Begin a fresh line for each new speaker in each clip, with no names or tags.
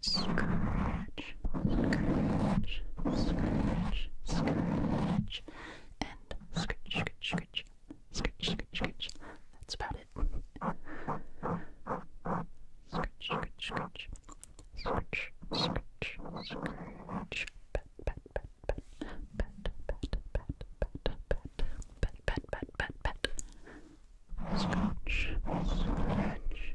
scratch, scratch, scratch, scratch, and scratch, scratch, scratch, scratch, scratch, scratch. That's about it. Scratch, scratch, scratch, scratch, scratch, scratch. Pat, pat, pat, pat, pat, pat, pat, pat, pat, pat, pat, pat, pat, pat. Scratch, scratch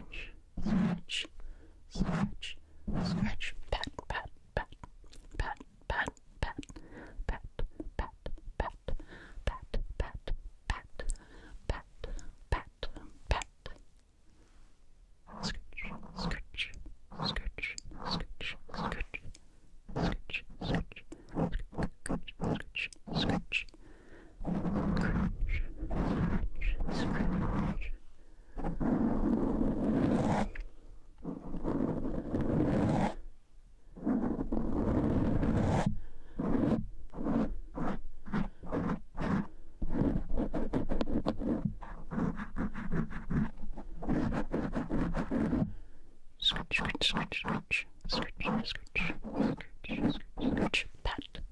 scratch, scratch, scratch, scratch, pat, pat, pat, pat, pat, pat, pat, pat, pat, pat, pat, pat, pat, pat, pat. Scratch, scratch, scratch, scratch, scratch, scratch, scratch, scratch, scratch, scratch. Scratch, scratch, scratch. Scratch, scratch, scratch, scratch, scratch, scratch, scratch, scratch, pat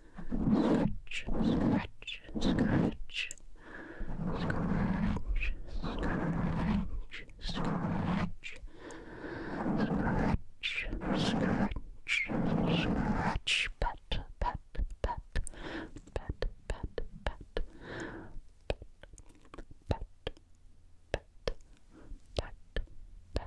Scratch, scratch, scratch. Scratch, scratch, scratch. Scratch, scratch, scratch. Pat, pat, pat. Pat, pat, pat. Pat, pat, pat. Pat, pat, pat.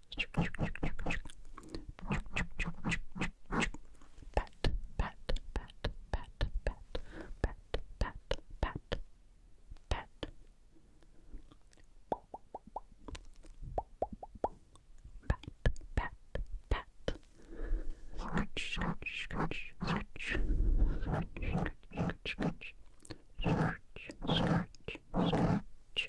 pat, pat, pat, pat, pat, pat, pat, pat, pat. Pat, pat, pat. Scratch, scratch, scratch, scratch. Scratch, scratch, scratch, scratch. Scratch, scratch, scratch.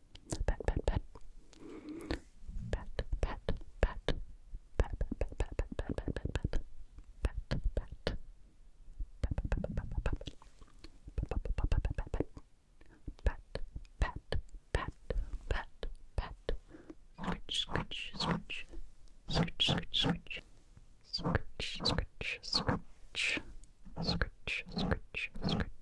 pat, pat, pat, pat, pat, pat, pat, pat, pat, pat, pat, pat, pat, pat, pat, pat. Pat, pat, pat, pat, pat. Scritch, scritch, scritch. Scritch, scritch, scritch. Scritch, scritch, scritch. Scritch, scritch, scritch.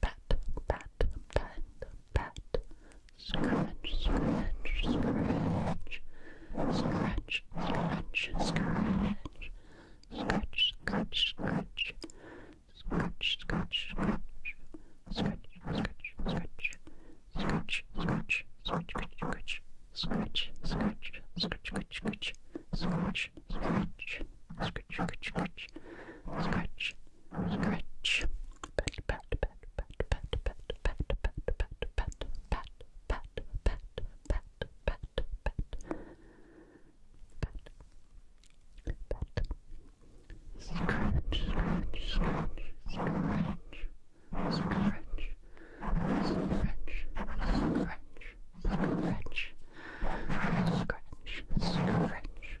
pat, pat, pat, pat, pat, scratch, scratch, scratch, scratch, scratch, scratch, scratch, scratch, scratch, scratch, scratch, scratch. Scratch, scratch, scratch, scratch, scratch, scratch, scratch, scratch, scratch, scratch, scratch, scratch, scratch, scratch, scratch, scratch, scratch, scratch, scratch, Scratch. Pat, pat, pat, pat, pat, pat, pat, pat, pat, pat, pat, pat, pat, pat, pat, pat. Pat. Scratch, scratch, scratch, scratch, scratch, scratch, scratch, scratch, scratch, scratch,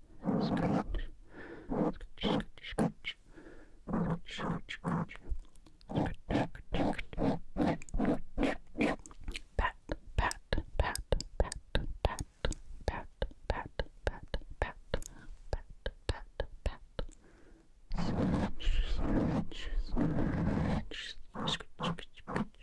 scratch, scratch, scratch, scratch, scratch, pat, pat, pat, pat, pat, pat, pat, pat, pat, pat, pat, pat, scratch, scratch, scratch, scratch, scratch,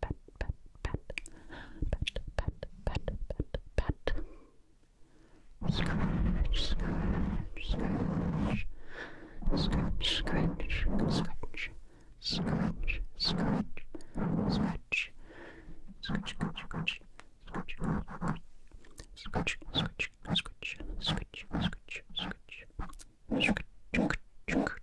pat, pat, pat, pat, pat, pat, pat, pat. Scratch, scratch, scratch, scratch, scratch, scratch, scratch, scratch, scratch, scratch, scratch, scratch, scratch. Scratch, scratch, scratch, scratch, scratch, scratch, scratch, scratch,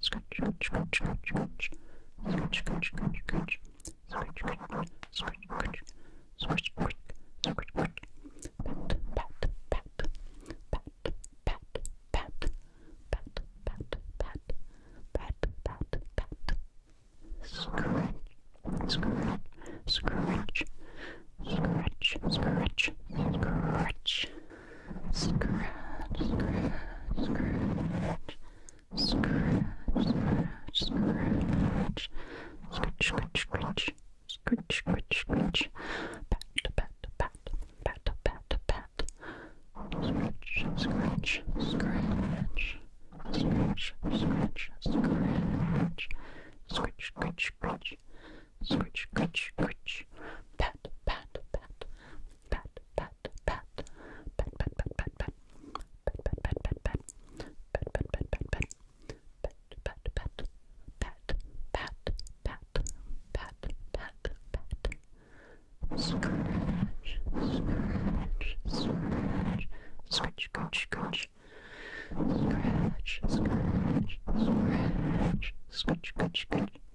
Scratch, scratch, scratch, scratch, scratch. Scratch, scratch, scratch, scratch. Scratch, scratch, scratch, scratch. Scratch, scratch, scratch, scratch. Pat, pat, pat. Pat, pat, pat. Pat, pat, pat. Pat, pat, pat. Scratch, scratch, scratch. Scratch, scratch, scratch. Scratch, scratch, scratch. Scratch, scratch, scratch. Scratch, scratch, scratch. Scratch, scratch, scratch. Pat, pat, pat, pat, pat, pat. Scratch, scratch, scratch. Scratch, scratch, scratch. Scratch, scratch, scratch. Scritch, scritch, scritch. Pat, pat, pat. Pat, pat, pat. Pat, pat, pat, pat, pat. Pat, pat, pat, pat, pat. Pat, pat, pat, pat, pat. Pat, pat, pat. Pat, pat, pat. Pat, pat, pat. Scratch, scratch, scratch. Scratch, scratch, scratch. Scratch, scratch, scratch. Scratch, scratch, scratch